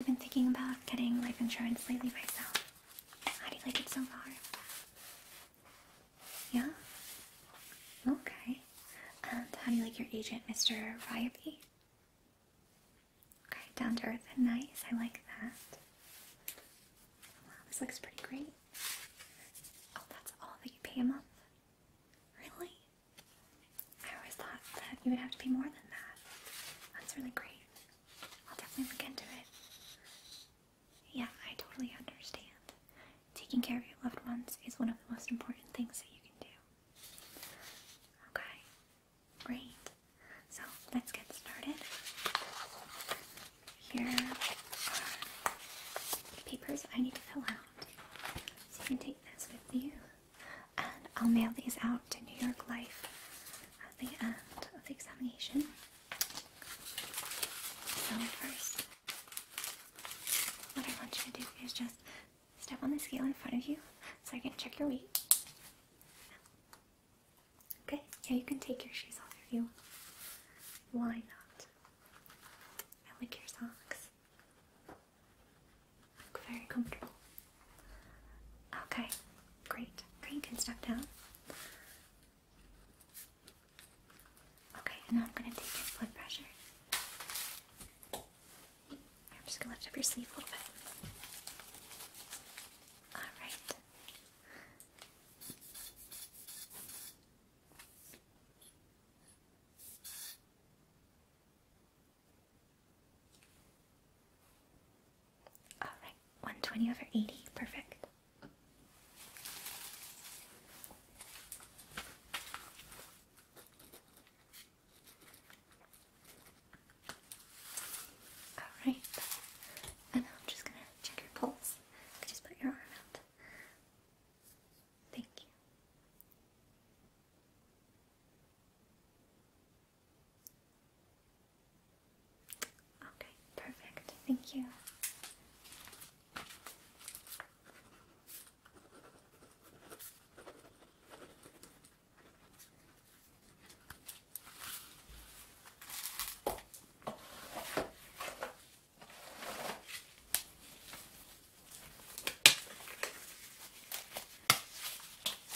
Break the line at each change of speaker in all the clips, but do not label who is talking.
I've been thinking about getting life insurance lately myself. How do you like it so far? Yeah? Okay. how do you like your agent, Mr. Ryby? Okay, down to earth and nice. I like that. Wow, this looks pretty great. Oh, that's all that you pay a month? Really? I always thought that you would have to be more than that. That's really great. I'll definitely look into it. Yeah, I totally understand. Taking care of your loved ones is one of the most important things that you can do. Okay, great. So let's get started. Here are papers I need to fill out. you can take this with you and I'll mail these out to New York Life at the end of the examination. So first, what I want you to do is just step on the scale in front of you so I can check your weight. Okay, yeah, you can take your shoes off if you want. Why not? I like your socks. Look very comfortable. Okay, great. Okay, you can step down. Okay, and now I'm going to take your blood pressure. I'm just going to lift up your sleeve a little bit. Alright. All right, 120 over 80, perfect. All right, and I'm just gonna check your pulse. You just put your arm out. Thank you. Okay, perfect. Thank you.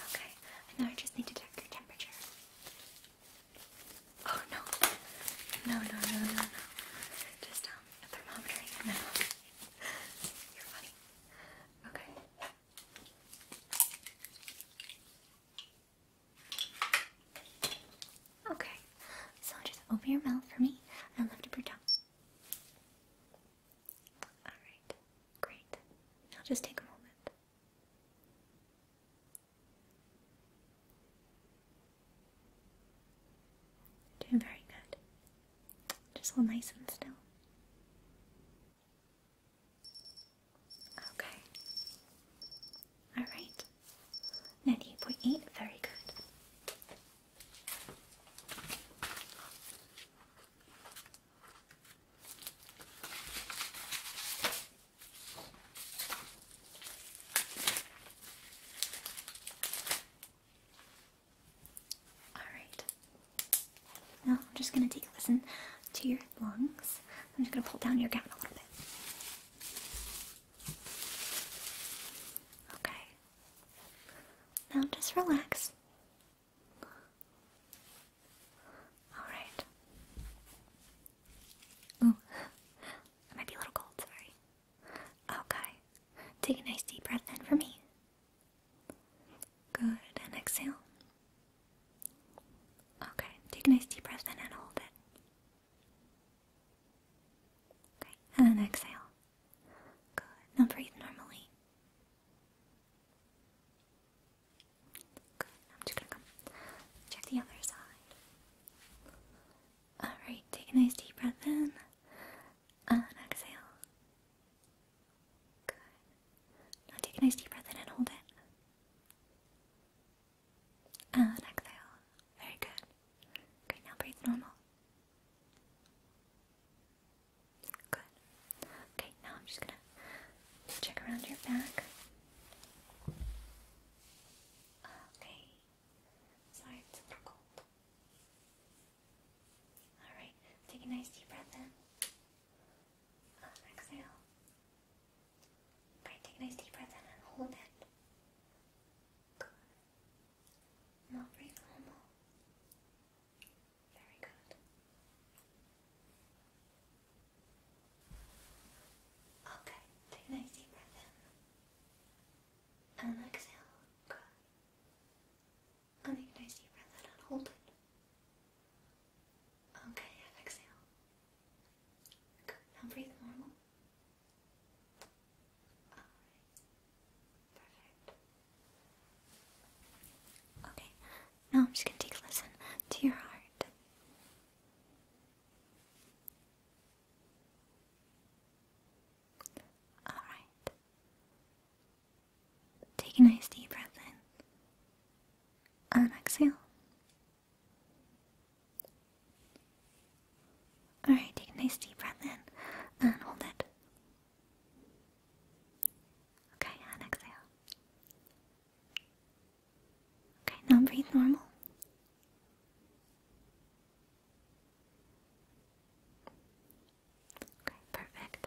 Okay, and now I just need to check your temperature. Oh no, no, no, no, no, no. Just um, a thermometer. No, you're funny. Okay. Okay, so just open your mouth for me and lift up your tongue. Alright, great. Now just take a moment. Doing very good. Just hold nice and still. Okay. Alright. 98.8, very good. Alright. Now I'm just going to take a listen to your lungs. I'm just going to pull down your gown a little bit. Okay. Now just relax. Alright. Ooh. I might be a little cold, sorry. Okay. Take a nice deep breath in for me. Good. And exhale. Okay. Take a nice deep breath in and hold it. Okay. And then exhale. Good. Now breathe normally. Good, I'm just gonna come check the other side. Alright, take a nice deep breath in and exhale. Good. Now take a nice deep breath in and hold it. And exhale. Very good. Okay, now breathe normal. Good. Okay, now I'm just gonna check around your back. Okay. Sorry, it's a little cold. Alright, take a nice deep breath in. Uh, exhale. Okay, take a nice deep breath in and hold it. Good. Now breathe normal. Very good. Okay, take a nice deep breath in. And exhale. Good. And nice deep breath in hold it. Okay, exhale. Good. Now breathe normal. Alright. Okay, now I'm just gonna take a listen to your heart. Alright. Take a nice deep breath in and exhale. Alright, take a nice deep breath in and hold it. Okay, and exhale. Okay, now breathe normal. Okay, perfect.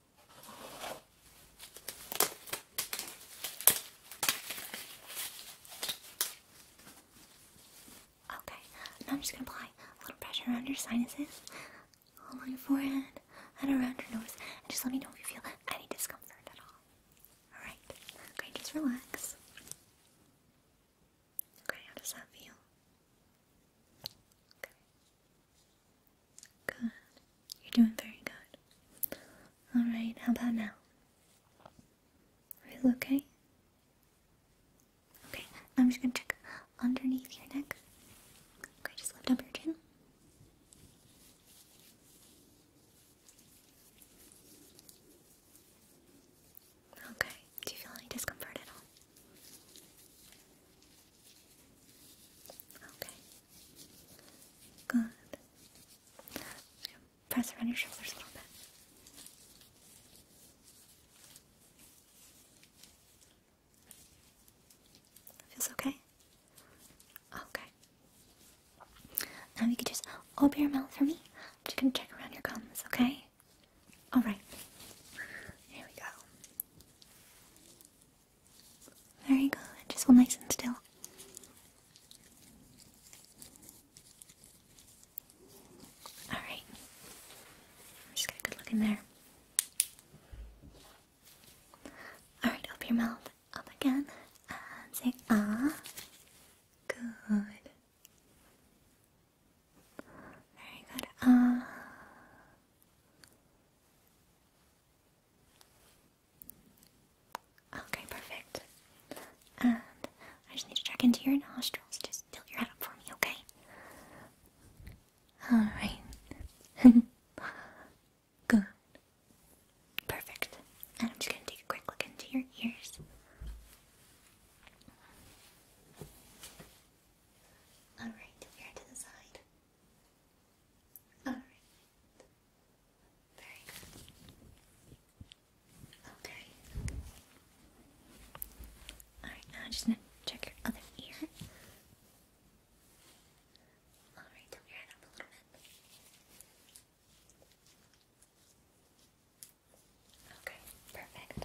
Okay, now I'm just gonna apply a little pressure around your sinuses, along your forehead, and around your nose, and just let me know if you feel any discomfort at all. Alright, okay, just relax. Okay, how does that feel? Okay. Good. You're doing very good. Alright, how about now? Are you okay? Okay, I'm just gonna check underneath your neck. Okay, just lift up your chin. Okay, do you feel any discomfort at all? Okay, Good. Press around your shoulders a little bit. Feels okay? Okay. Now you can just open your mouth for me. just gonna check around your gums, okay? Alright. Here we go. Very good. Just hold nice and still. Alright. Just get a good look in there. Alright, open your mouth up again ah. Good. Very good. Ah. Okay, perfect. And I just need to check into your nostrils. Just tilt your head up for me, okay? Alright. Good. Perfect. And I'm just gonna take a quick look into your ears. Alright, to the side. All right. Very good. Okay. All right. Now I'm just gonna check your other ear. All right. Tilt your head up a little bit. Okay, perfect.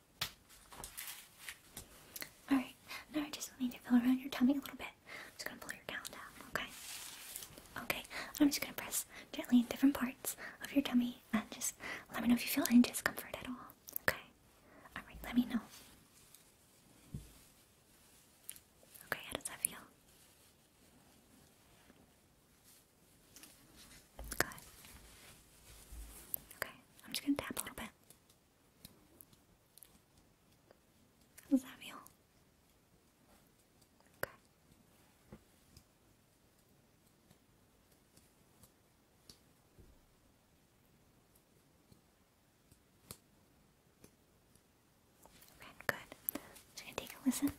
Alright, now I just need to feel around your tummy a little bit. I'm just gonna pull your down down, okay? Okay, I'm just gonna press gently in different parts of your tummy and just let me know if you feel any discomfort at all. Okay? Alright, let me know. Okay, how does that feel? Good. Okay, I'm just gonna tap a little bit. How that feel? Okay. Okay, good. I'm take a listen.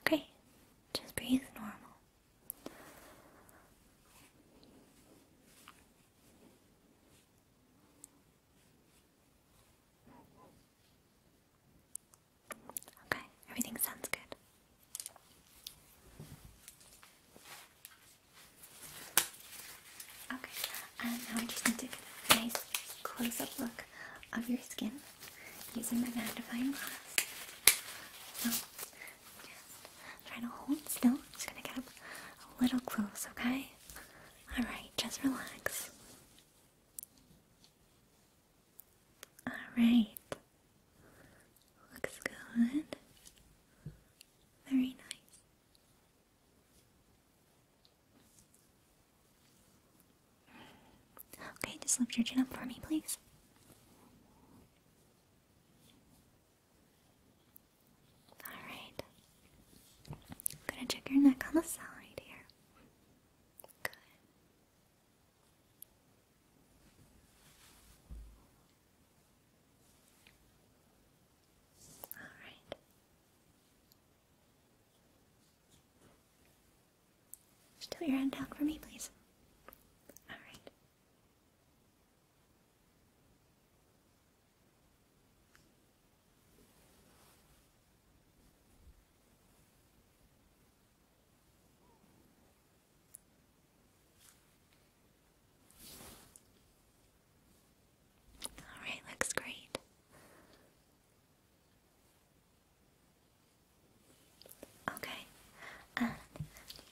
Okay, just breathe normal. Okay, everything sounds good. Okay, now I just need to get a nice close up look of your skin using my magnifying glass. So, just try to hold still. just gonna get up a little close, okay? Alright, just relax. Alright. Looks good. Very nice. Okay, just lift your chin up for me, please. Alright. I'm gonna check your neck on the side here. Good. Alright. Just put your hand out for me, please. All right. Alright, looks great. Okay,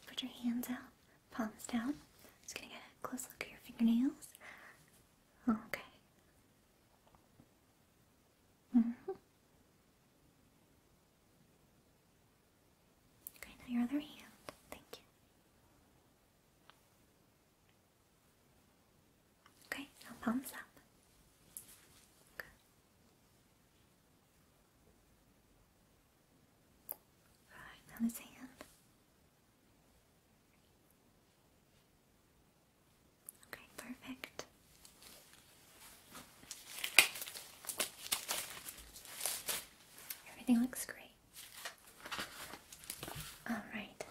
put your hands out, palms down. Just gonna get a close look at your fingernails. Okay. -hmm. Okay, now your other hand. Thank you. Okay, now palms up. Good. now this hand. Okay, perfect. Everything looks great. All right.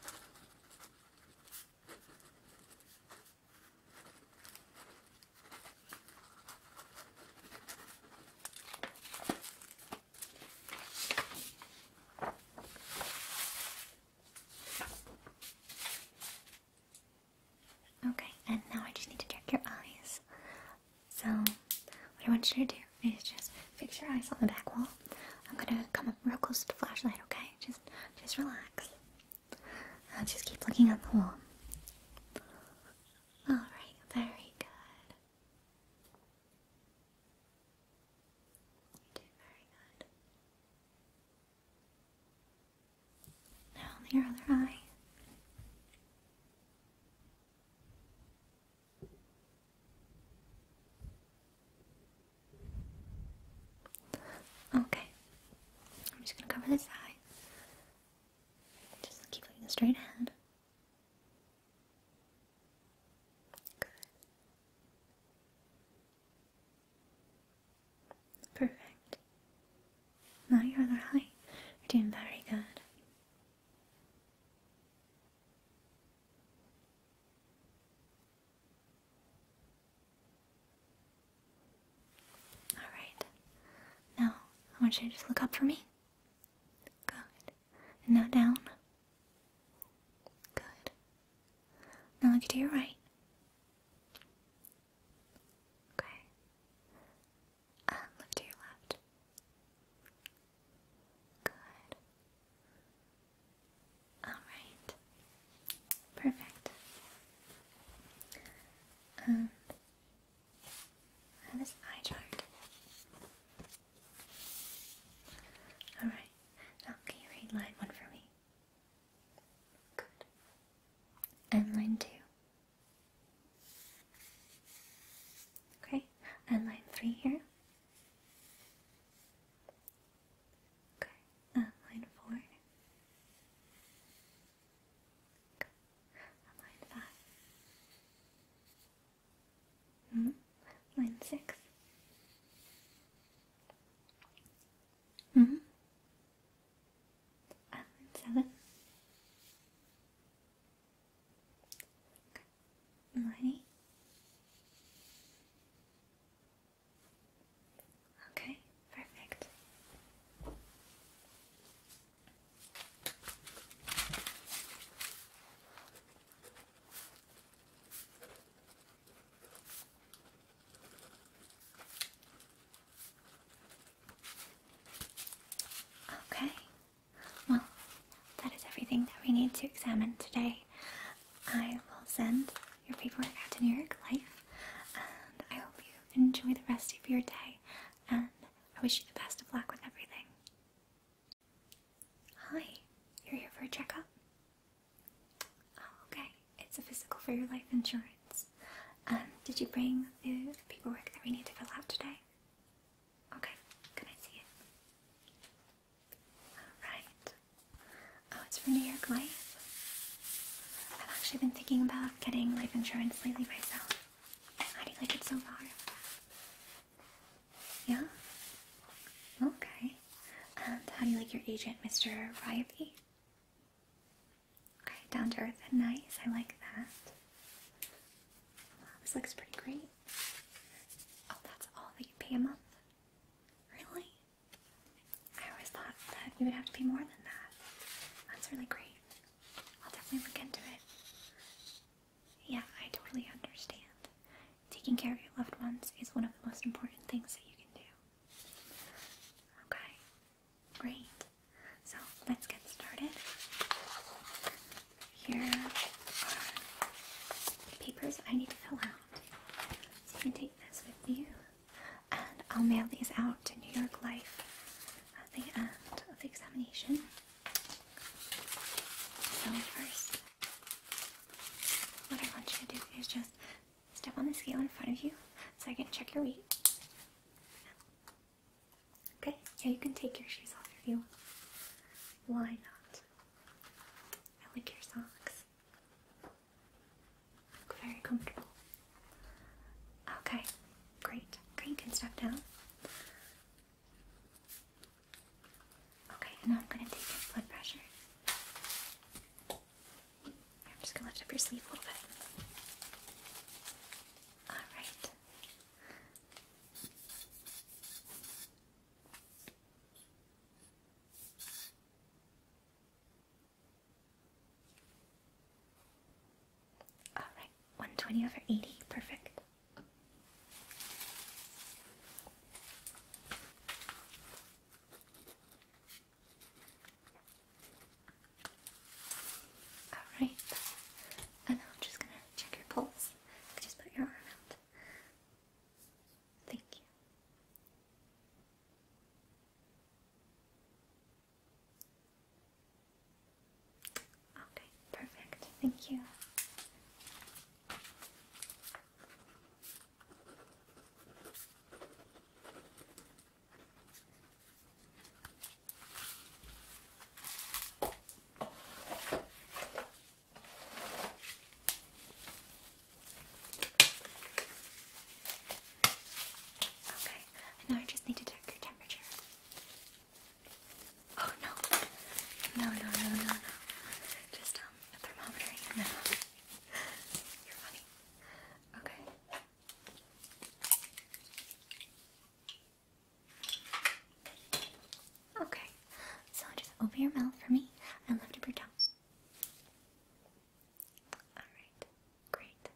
Okay, and now I just need to check your eyes. So, I want you to do is just fix your eyes on the back wall. I'm gonna come up real close to the flashlight, okay? Just just relax. I'll just keep looking on the wall. Alright, very good. You did very good. Now your other eye. Okay, I'm just gonna cover this eye. Just keep looking straight ahead. Good. Perfect. Now your other eye. You're doing very good. Alright. Now, I want you to just look up for me. Good. now down. Good. Now look to your right. Okay. look to your left. Good. Alright. Perfect. And this eye chart. Alright. Now can line one for me? Good. And line two. Okay, and line three here. Okay, line four. Okay. Line five. -hmm. Line six. -hmm. line seven. Money. Okay, perfect. Okay, well, that is everything that we need to examine today. I will send your paperwork out to New York Life, and I hope you enjoy the rest of your day, and I wish you the best of luck with everything. Hi, you're here for a checkup? Oh, okay, it's a physical for your life insurance. Um, did you bring the paperwork that we need to fill out today? Okay, can I see it? Alright. Oh, it's for New York Life. I've actually been thinking about getting life insurance lately myself. How do you like it so far? Yeah? Okay. how do you like your agent, Mr. Riley? Okay, down to earth and nice. I like that. this looks pretty great. Oh, that's all that you pay a month? Really? I always thought that you would have to pay more than that. That's really great. I'll definitely look into it. Yeah, I totally understand. Taking care of your loved ones is one of the most important things that you can do. Okay, great. So let's get started here are papers I need to fill out. you can take this with you, and I'll mail these out to New York Life at the end of the examination. So first, what I want you to do is just step on the scale in front of you so I can check your weight. Okay, yeah, you can take your shoes off if you want. Why not? I like your socks. Look very comfortable. Okay, great. Okay, you can down. Okay, now I'm going to take your blood pressure. I'm just going to lift up your sleeve a little bit. Alright. All right, 120 over 80, perfect. All right, and I'm just gonna check your pulse. just put your arm out. Thank you. Okay, perfect. Thank you. Okay, now I just need to check your temperature. Oh no, no, no, no, no, no. Just um, a thermometer. No, you're funny. Okay. Okay, so just open your mouth for me and lift up breathe tongues. Alright, great.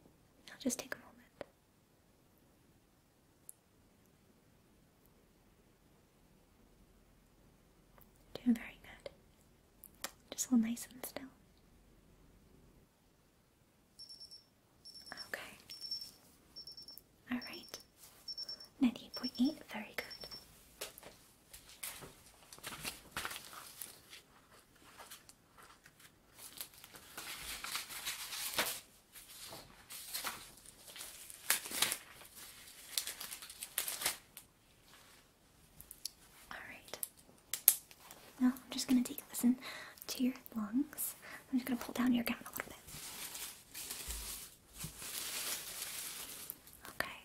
Now just take a moment. Doing very good. Just hold nice and still. Okay. Alright. 98.8, very good. Alright. Now I'm just going to take a listen to your lungs. I'm just going to pull down your gown a little bit. Okay.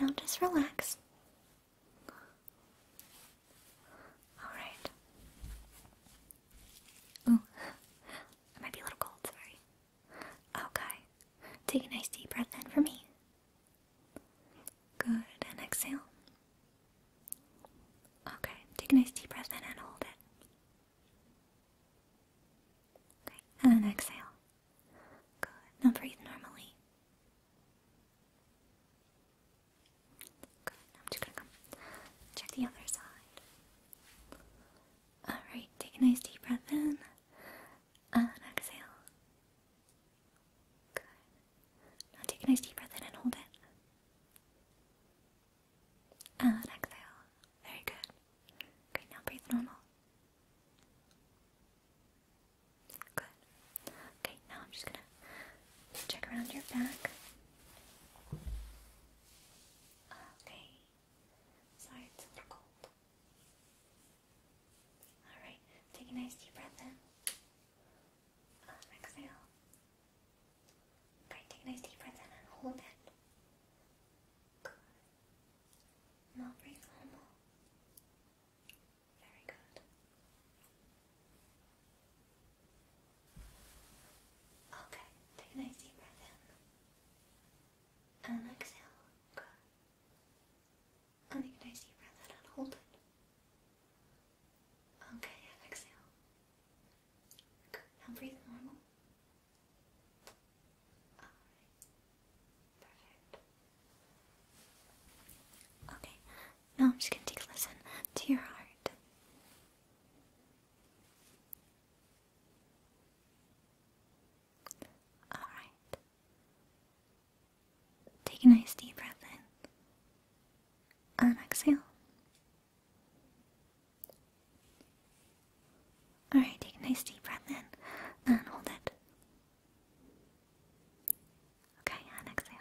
Now just relax. Alright. Oh, I might be a little cold, sorry. Okay. Take a nice deep breath in for me. Good, and exhale. Okay, take a nice deep breath in and hold it. Okay, and then exhale. Good. Now breathe normally. Good. Now I'm just gonna come check the other side. Alright, take a nice deep breath in and exhale. Good. Now take a nice deep breath in and hold it and ah, exhale. Very good. Great, now breathe normal. Good. Okay, now I'm just gonna check around your back. Okay. Sorry, it's a cold. Alright, take a nice deep breath in. exhale. Okay, take a nice deep breath in and hold it. Good. Now breathe normal. Very good. Okay, take a nice deep breath in. And exhale. Good. take a nice deep breath in and hold it. Okay, exhale. Good. Now breathe normal. Okay. Now I'm just gonna take a listen to your heart. Alright. Take a nice deep breath in. And exhale. Alright, take a nice deep breath in and hold it. Okay, and exhale.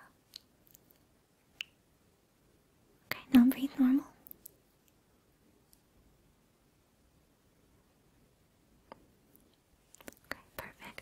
Okay, now breathe normal. Okay, perfect.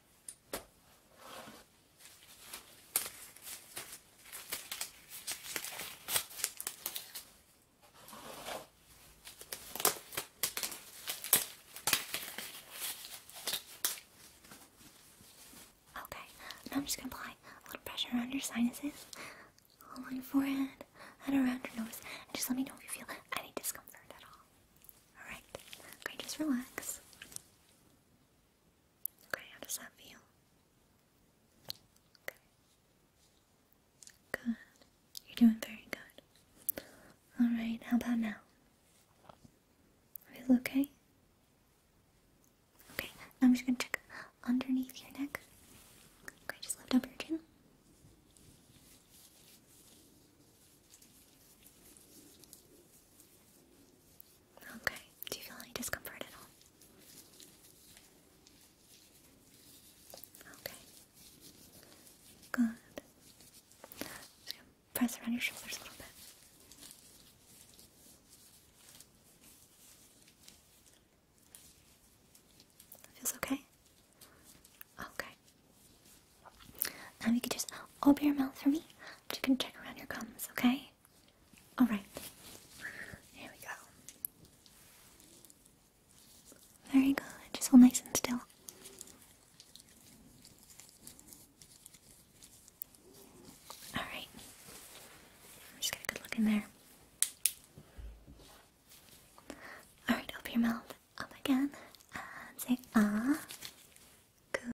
Okay, now I'm just gonna apply a little pressure around your sinuses, on your forehead, and around your nose, and just let me know if you feel any discomfort at all. Alright, okay, just relax. Okay, how does that feel? Okay. Good. You're doing very good. Alright, how about now? Are you okay? Okay, I'm just gonna check underneath your neck. Okay, just lift up your chin. Okay. Do you feel any discomfort at all? Okay. Good. Just gonna press around your shoulders a little bit. feels okay? Okay. Now you can just open your mouth for me you can check around your gums, okay? Alright. Here we go. Very good. Just hold nice and still. Alright. Just get a good look in there. Alright, open your mouth up again and say ah. Good.